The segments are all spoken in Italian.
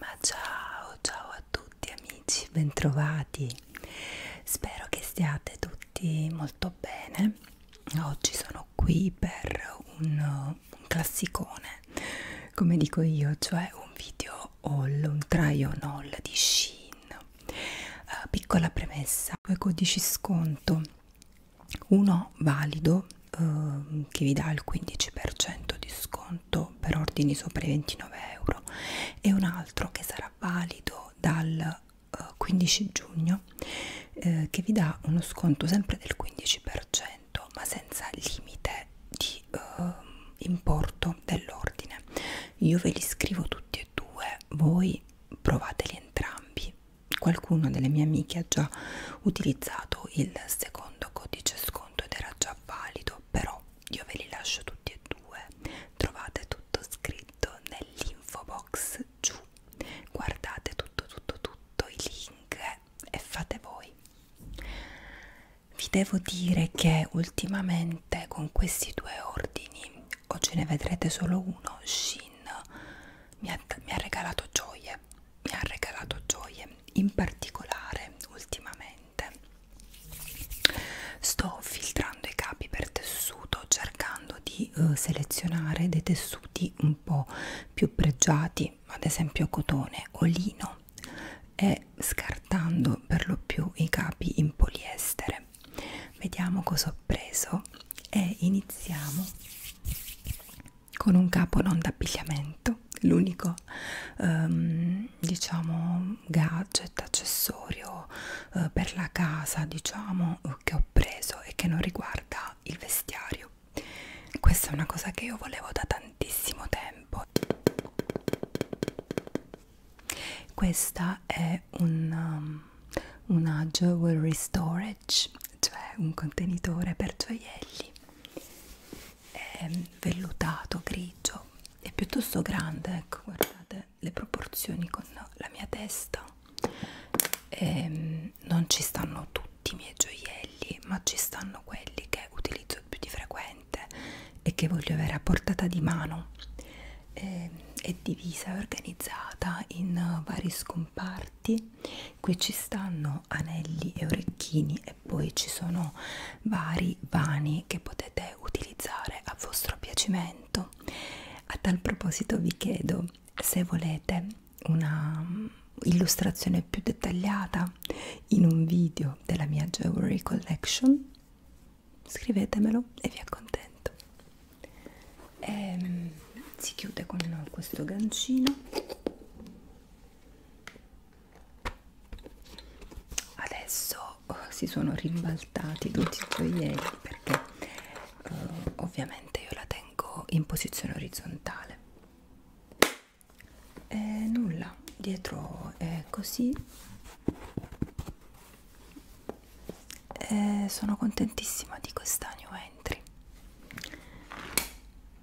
Ma ciao, ciao a tutti amici, bentrovati. Spero che stiate tutti molto bene. Oggi sono sono qui per un, un classicone, come dico io, cioè un video haul, un try on haul di Shein. Uh, piccola premessa, due codici sconto, uno valido uh, che vi dà il 15% di sconto per ordini sopra i 29 euro e un altro che sarà valido dal 15 eh, giugno eh, che vi dà uno sconto sempre del 15% 100 ma senza limite di eh, importo dell'ordine io ve li scrivo tutti e due voi provateli entrambi qualcuno delle mie amiche ha già utilizzato il secondo codice sconto ed era già valido però io ve li lascio tutti e due trovate tutto scritto nell'info box giù guardate tutto tutto tutto i link vabbè, e fate voi. Vi devo dire che ultimamente con questi due ordini, oggi ne vedrete solo uno, Shin mi ha, mi ha regalato gioie, mi ha regalato gioie, in particolare ultimamente sto filtrando i capi per tessuto cercando di uh, selezionare dei tessuti un po' più pregiati di ad esempio cotone o lino e scartando per lo più i capi in poliestere vediamo cosa ho preso e iniziamo con un capo non d'abbigliamento l'unico ehm, diciamo gadget accessorio eh, per la casa diciamo che ho preso e che non riguarda il vestiario questa è una cosa che io volevo da tantissimo tempo. Questa è un, um, una jewelry storage, cioè un contenitore per gioielli è vellutato, grigio, è piuttosto grande, ecco, guardate le proporzioni con la mia testa. È, ehm, non ci stanno tutti i miei gioielli ma ci stanno quelli che utilizzo più di frequente e che voglio avere a portata di mano e, ehm, è divisa e organizzata in eh, vari scomparti qui ci stanno anelli e orecchini e poi ci sono vari vani che potete utilizzare a vostro piacimento a tal proposito vi chiedo se volete una mm, illustrazione più dettagliata in un video della mia jewelry collection scrivetemelo e vi accontento e ehm, si chiude con questo gancino adesso oh, si sono rimbaltati tutti i gioielli perché eh, ovviamente io la tengo in posizione orizzontale eh, nulla dietro è così eh, sono contentissima di questa new entry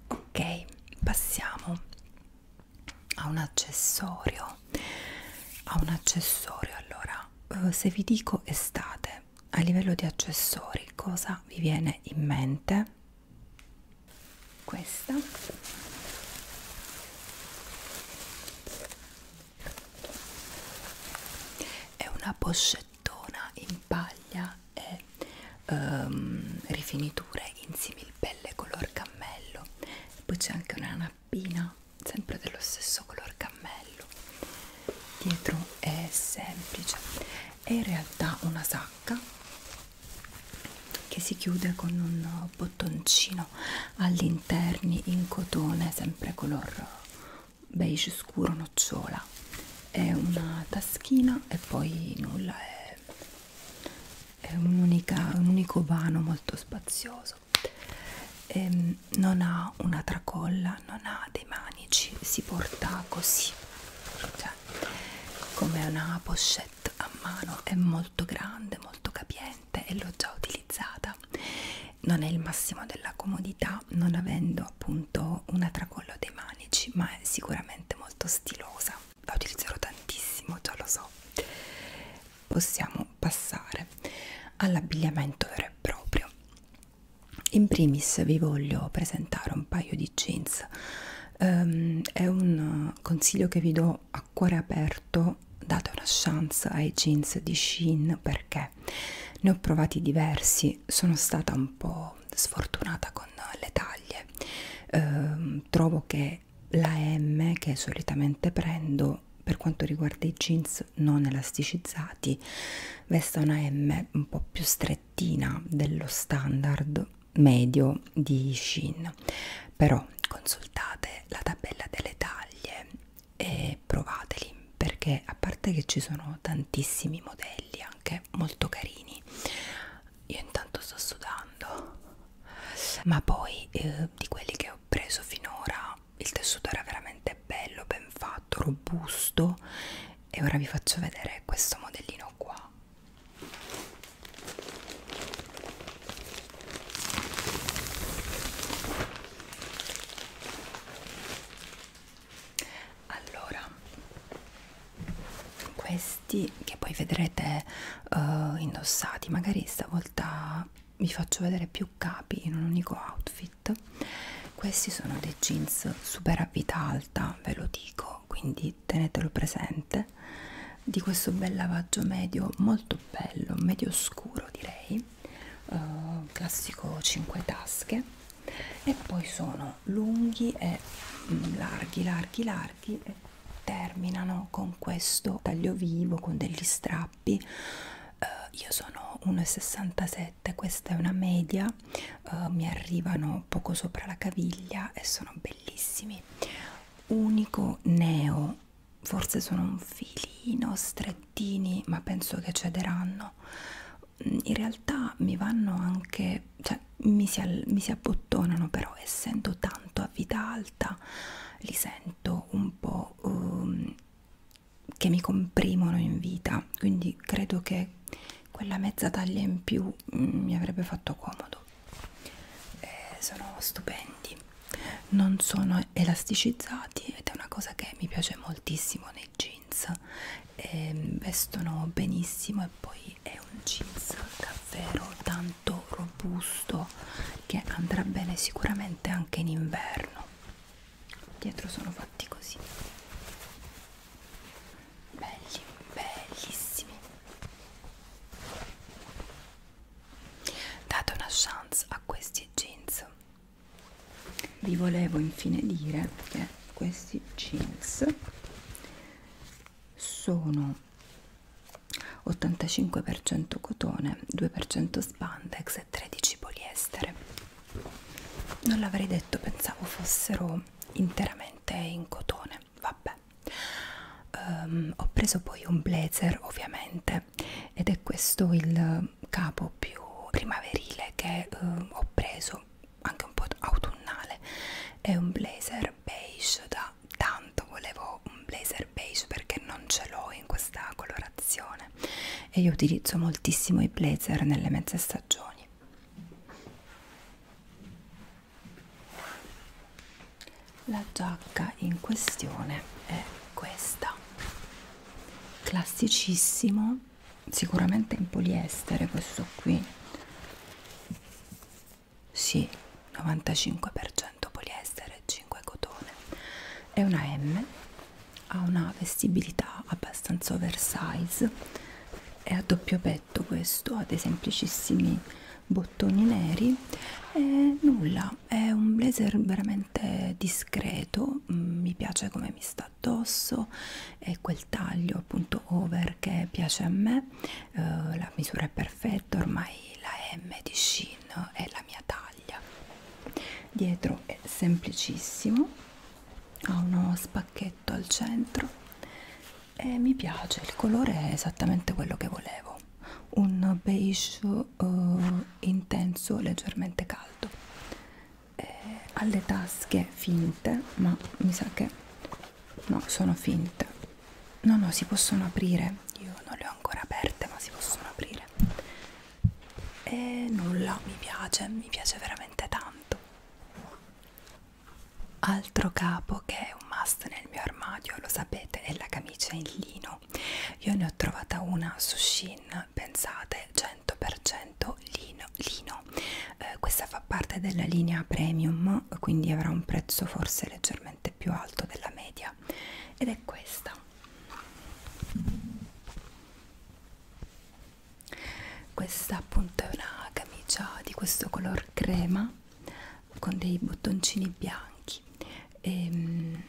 ok passiamo a un accessorio a un accessorio allora eh, se vi dico estate a livello di accessori cosa vi viene in mente questa è una boscettona in paglia e um, rifiniture in similpelle color cammello poi c'è anche una nappina sempre dello stesso color cammello dietro è semplice è in realtà una sacca che si chiude con un bottoncino all'interno in cotone sempre color beige scuro nocciola è una taschina e poi nulla è, è un, un unico vano molto spazioso e ehm, non ha una tracolla non ha dei manici si porta così cioè come una pochette a mano è molto grande molto capiente e l'ho già utilizzata non è il massimo della comodità non avendo appunto una tracollo dei manici ma è sicuramente molto stilosa la utilizzerò tantissimo già lo so possiamo passare all'abbigliamento vero e proprio in primis vi voglio presentare un paio di jeans um, è un eh, consiglio che vi do a cuore aperto date una chance ai jeans di Shein perché ne ho provati diversi sono stata un po' sfortunata con le taglie um, trovo che la M che solitamente prendo per quanto riguarda i jeans non elasticizzati vesta una M un po' più strettina dello standard medio di Shin però consultate la tabella delle taglie e provateli perché a parte che ci sono tantissimi modelli anche molto carini io intanto sto sudando ma poi eh, di quelli che ho preso finora il tessuto era veramente bello ben fatto robusto e ora vi faccio vedere questo modellino qua allora, questi che poi vedrete uh, indossati, magari stavolta vi faccio vedere più capi in un unico outfit. Questi sono dei jeans super a vita alta, ve lo dico, quindi quindi tenetelo presente di questo bel lavaggio medio molto bello medio scuro direi uh, classico 5 tasche e poi sono lunghi e mm, larghi larghi larghi e terminano con questo taglio vivo con degli strappi uh, io sono 1,67 questa è una media uh, mi arrivano poco sopra la caviglia e sono bellissimi unico neo forse sono un filino strettini ma penso che cederanno mm, in realtà mi vanno anche cioè mi si, al, mi si abbottonano però essendo tanto a vita alta li sento un po' um, che mi comprimono in vita quindi credo che quella mezza taglia in più mm, mi avrebbe fatto comodo eh, sono stupendi non sono elasticizzati ed è una cosa che mi piace moltissimo nei jeans eh, vestono benissimo e poi è un jeans davvero tanto robusto che andrà bene sicuramente anche in inverno dietro sono fatti così belli bellissimi date una chance a questi jeans vi volevo infine dire che questi jeans sono 85% cotone 2% spandex e 13 poliestere non l'avrei detto pensavo fossero interamente in cotone bene, vabbè. Um, ho preso poi un blazer ovviamente ed è questo il capo più primaverile che uh, ho preso, anche un po' autunnale. È un blazer beige da tanto volevo un blazer beige perché non ce l'ho in questa colorazione e io utilizzo moltissimo i blazer nelle mezze stagioni la giacca in questione è questa classicissimo sicuramente in poliestere questo qui sì 95% poliestere 5 cotone è una M ha una vestibilità abbastanza oversize è a doppio petto perfetto questo ha dei semplicissimi bottoni neri e nulla è un blazer veramente discreto mm, mi piace come mi sta addosso e quel taglio appunto over che piace a me eh, la misura è perfetta ormai la M di Shin è la mia taglia dietro è semplicissimo ha uno spacchetto al centro e eh, mi piace il colore è esattamente quello che volevo un beige uh, intenso leggermente caldo e eh, ha le tasche finte ma mi sa che no sono finte no no si possono aprire io non le ho ancora aperte ma si possono aprire e nulla mi piace mi piace veramente tanto altro capo che è un must nel mio armadio lo sapete è la camicia in lino io ne ho trovata una su Shin pensate 100% lino, lino. Eh, questa fa parte della linea premium quindi avrà un prezzo forse leggermente più alto della media ed è questa questa appunto è una camicia di questo color crema con dei bottoncini bianchi e um,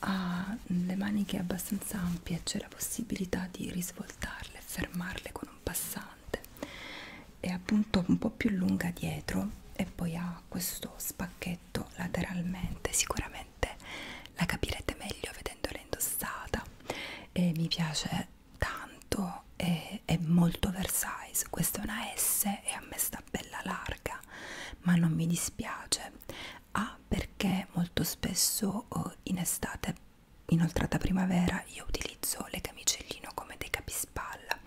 ha le maniche abbastanza ampie c'è la possibilità di risvoltarle e fermarle con un passante è appunto un po' più lunga dietro e poi ha questo spacchetto lateralmente sicuramente la capirete meglio vedendola indossata e mi piace tanto e è molto oversize questa è una S e a me sta bella larga ma non mi dispiace A ah, perché molto spesso oh, in estate inoltrata primavera io utilizzo le camicie in lino come dei capispalla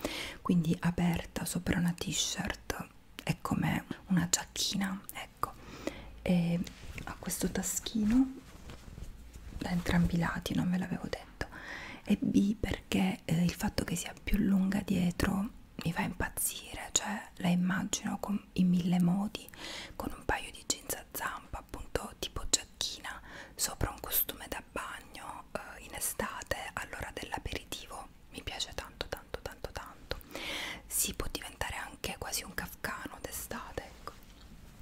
quindi aperta sopra una t-shirt è come una giacchina ecco e ha questo taschino da entrambi i lati non ve l'avevo detto perfetto e B perché eh, il fatto che sia più lunga dietro mi fa impazzire cioè la immagino con, in mille modi con un paio di jeans a zampa appunto tipo giacchina sopra un costume da bagno eh, in estate all'ora dell'aperitivo mi piace tanto tanto tanto tanto si può diventare anche quasi un kafkano d'estate ecco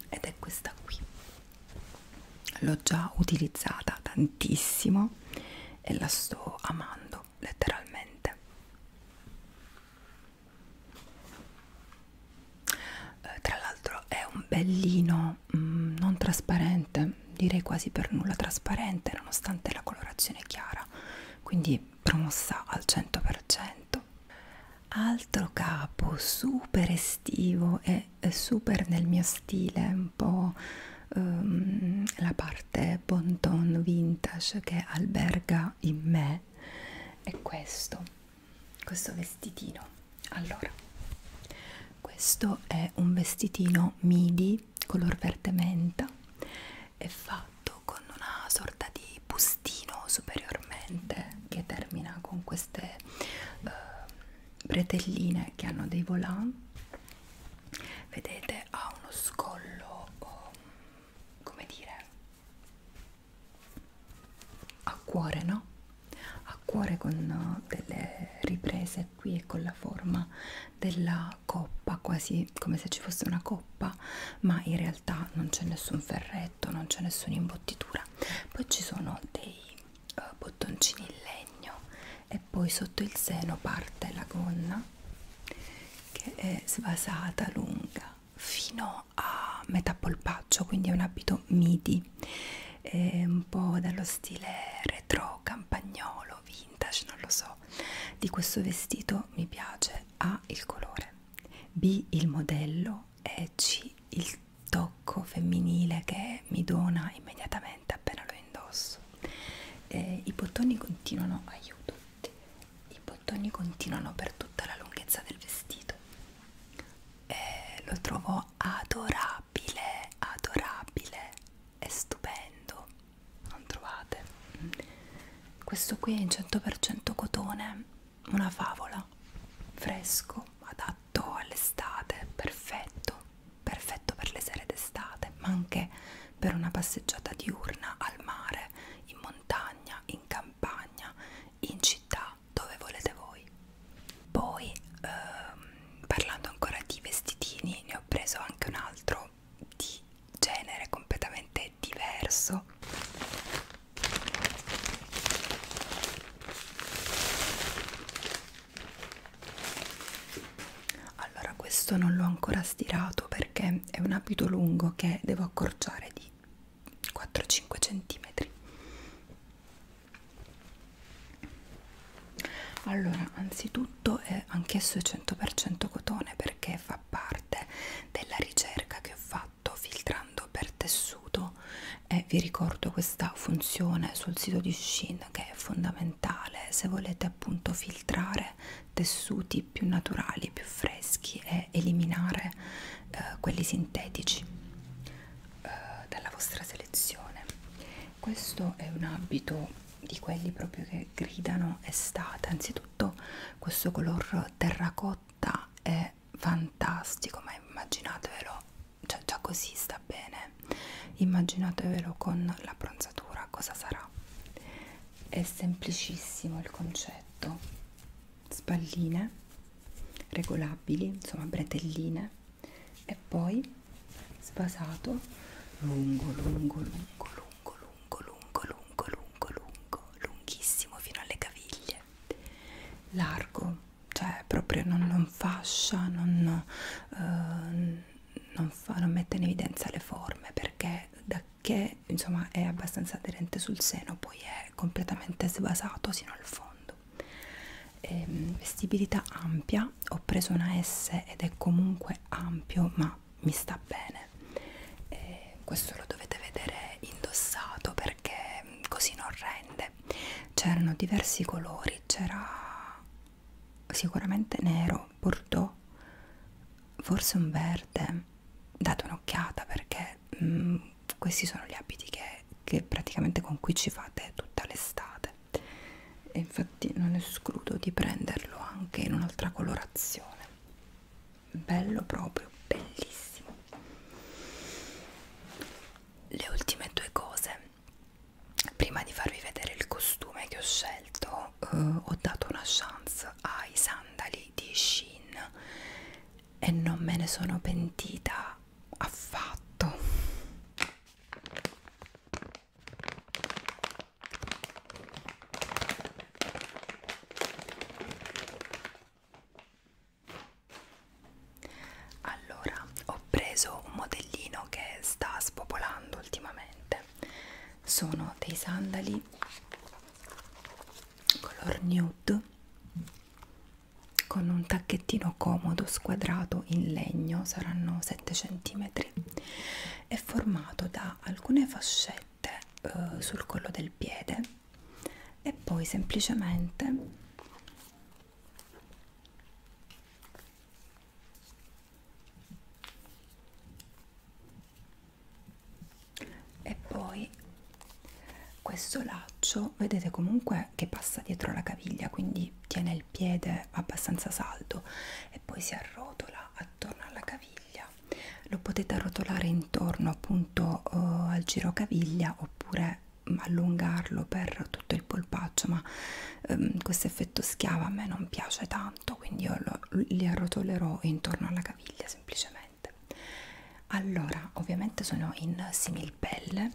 ed è questa qui l'ho già utilizzata tantissimo e la sto amando letteralmente eh, tra l'altro è un bellino mm, non trasparente direi quasi per nulla trasparente nonostante la colorazione chiara quindi promossa al 100% altro capo super estivo e super nel mio stile un po' um, la parte bon ton vintage che alberga in me è questo questo vestitino allora questo è un vestitino midi color verde menta è fatto con una sorta di bustino superiormente che termina con queste eh, bretelline che hanno dei volant vedete ha uno scollo oh, come dire a cuore no a cuore con eh, delle riprese qui e con la forma della coppa quasi come se ci fosse una coppa ma in realtà non c'è nessun ferretto non c'è nessuna imbottitura poi ci sono dei eh, bottoncini in legno e poi sotto il seno parte la gonna che è svasata lunga fino a metà polpaccio quindi è un abito midi è un po' dallo stile retro campagnolo vintage non lo so di questo vestito mi piace A il colore B il modello e C il tocco femminile che mi dona immediatamente appena lo indosso eh, i bottoni continuano aiuto i bottoni continuano per tutta la lunghezza del vestito eh, lo trovo adorabile adorabile è stupendo non trovate mm. questo qui è in 100% cotone una favola fresco adatto all'estate perfetto perfetto per le sere d'estate ma anche per una passeggiata diurna al mare in montagna in campagna in città dove volete voi poi ehm, parlando ancora di vestitini ne ho preso anche un altro di genere completamente diverso allora questo non l'ho ancora stirato perché è un abito lungo che devo accorciare di 4-5 centimetri allora anzitutto è anch'esso 100% cotone perché fa parte della ricerca che ho fatto filtrando per tessuto e eh, vi ricordo questa funzione sul sito di Shin che è fondamentale se volete appunto filtrare tessuti più naturali, più freschi e eliminare eh, quelli sintetici eh, dalla vostra selezione. Questo è un abito di quelli proprio che gridano estate, anzitutto questo color terracotta è è fantastico ma immaginatevelo cioè già così sta bene immaginatevelo con la bronzatura cosa sarà è semplicissimo il concetto spalline regolabili insomma bretelline e poi spasato lungo lungo lungo lungo lungo lungo lungo lungo lungo lunghissimo fino alle caviglie largo cioè proprio non, non fascia, non, eh, non, fa, non mette in evidenza le forme perché da che insomma è abbastanza aderente sul seno poi è completamente svasato sino al fondo. E, ehm, vestibilità ampia, ho preso una S ed è comunque ampio ma mi sta bene. E eh, questo lo dovete vedere indossato perché così non rende colore c'erano diversi colori c'era sicuramente nero bordeaux forse un verde date un'occhiata perché mh, mm, questi sono gli abiti che, che praticamente con cui ci fate tutta l'estate e infatti non escludo di prenderlo anche in un'altra colorazione bello proprio bellissimo le ultime due cose prima di farvi vedere il costume che ho scelto eh, ho dato una chance ai sandali di Shein e non me ne sono pentita affatto allora ho preso un modellino che sta spopolando ultimamente sono dei sandali color nude con un tacchettino comodo squadrato in legno saranno 7 cm è formato da alcune fascette eh, sul collo del piede e poi semplicemente e poi questo laccio vedete comunque che passa dietro la caviglia quindi tiene il piede abbastanza saldo e poi si arrotola attorno alla caviglia lo potete arrotolare intorno appunto eh, al girocaviglia oppure allungarlo per tutto il polpaccio ma ehm, questo effetto schiava a me non piace tanto quindi io lo, li arrotolerò intorno alla caviglia semplicemente allora ovviamente sono in similpelle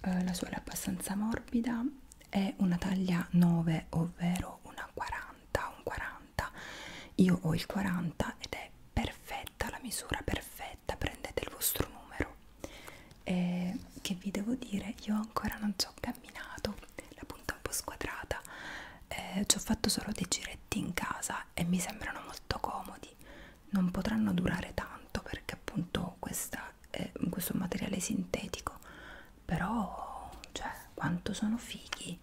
eh, la suola è abbastanza morbida è una taglia 9 ovvero una 40 un 40 io ho il 40 ed è perfetta la misura perfetta scaletta prendete il vostro numero e che vi devo dire io ancora non ci ho camminato la punta è un po' squadrata eh, ci ho fatto solo dei giretti in casa e mi sembrano molto comodi non potranno durare tanto perché appunto questa è eh, questo materiale sintetico però cioè quanto sono fighi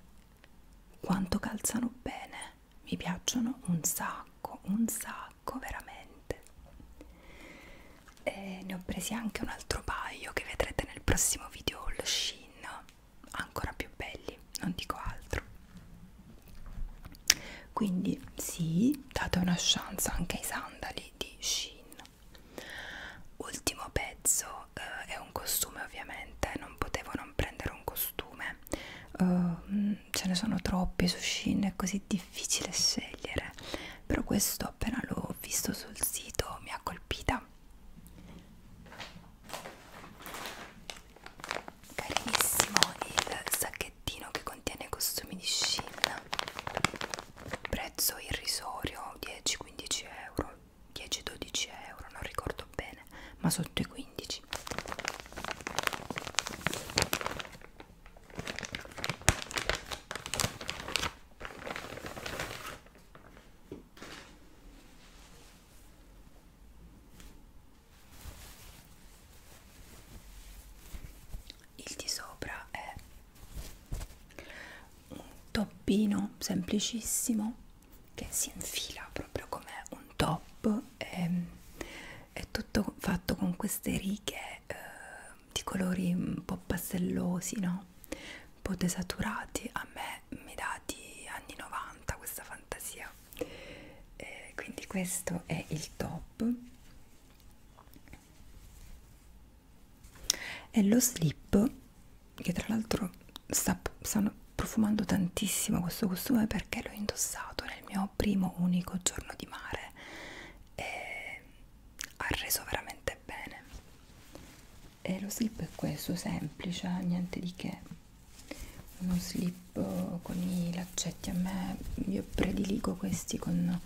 quanto calzano bene mi piacciono un sacco un sacco pacco veramente e ne ho presi anche un altro paio che vedrete nel prossimo video lo shin ancora più belli non dico altro quindi sì date una chance anche ai sandali di shin ultimo pezzo eh, è un costume ovviamente non potevo non prendere un costume eh, ce ne sono troppi su Shein è così difficile scegliere però questo appena l'ho visto sul sito mi ha colpita carinissimo il sacchettino che contiene costumi di Shein prezzo irrisorio 10-15 euro 10-12 euro non ricordo bene ma sotto i 15 il di sopra è un toppino semplicissimo che si infila proprio come un top e ehm, è tutto fatto con queste righe eh, di colori un po' pastellosi, no? un po' desaturati, a me mi dà di anni 90 questa fantasia, eh, quindi questo è il top e lo slip che tra l'altro sta, stanno profumando tantissimo questo costume perché l'ho indossato nel mio mio primo unico giorno di mare e ha reso veramente bene e lo slip è questo semplice niente di che uno slip con i laccetti a me io prediligo questi con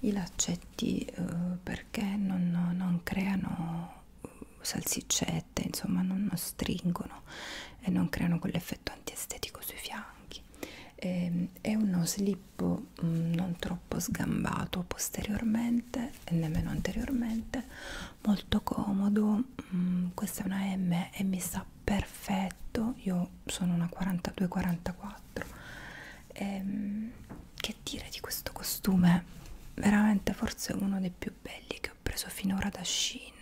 i laccetti eh, perché non, non creano eh, salsiccette insomma non, non stringono e non creano quell'effetto antiestetico sui fianchi occhi eh, è uno slip mh, mm, non troppo sgambato posteriormente e nemmeno anteriormente molto comodo mh, mm, questa è una M e mi sta perfetto io sono una 42-44 ehm, che dire di questo costume veramente forse uno dei più belli che ho preso finora da Shein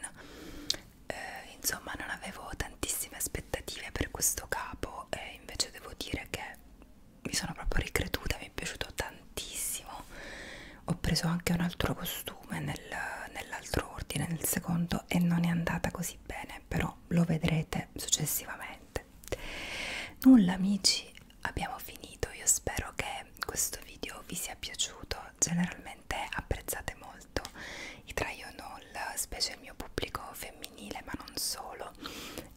eh, insomma non avevo tantissime aspettative per questo capo e invece devo dire che mi sono proprio ricreduta, mi è piaciuto tantissimo ho preso anche un altro costume nel, nell'altro ordine, nel secondo e non è andata così bene però lo vedrete successivamente nulla amici abbiamo finito io spero che questo video vi sia piaciuto generalmente apprezzate molto molto i trial specie il mio pubblico femminile ma non solo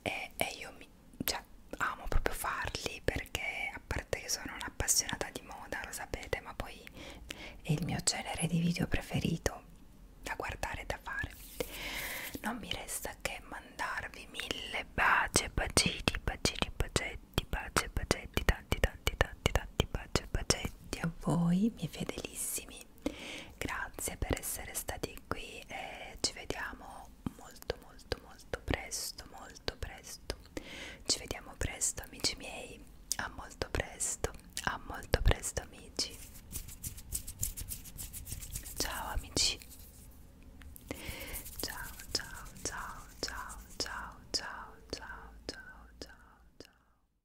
e, e io mi, cioè, amo proprio farli perché a parte che sono un'appassionata di moda lo sapete ma poi è il mio genere di video preferito da guardare e da fare non mi resta che mandarvi mille baci bacini bacini bacetti baci bacetti tanti tanti tanti tanti baci bacetti a voi miei fedelissimi grazie per essere stati qui e ci vediamo molto molto molto presto molto presto ci vediamo presto amici miei a molto presto a molto presto amici ciao amici ciao ciao ciao ciao ciao ciao ciao ciao ciao ciao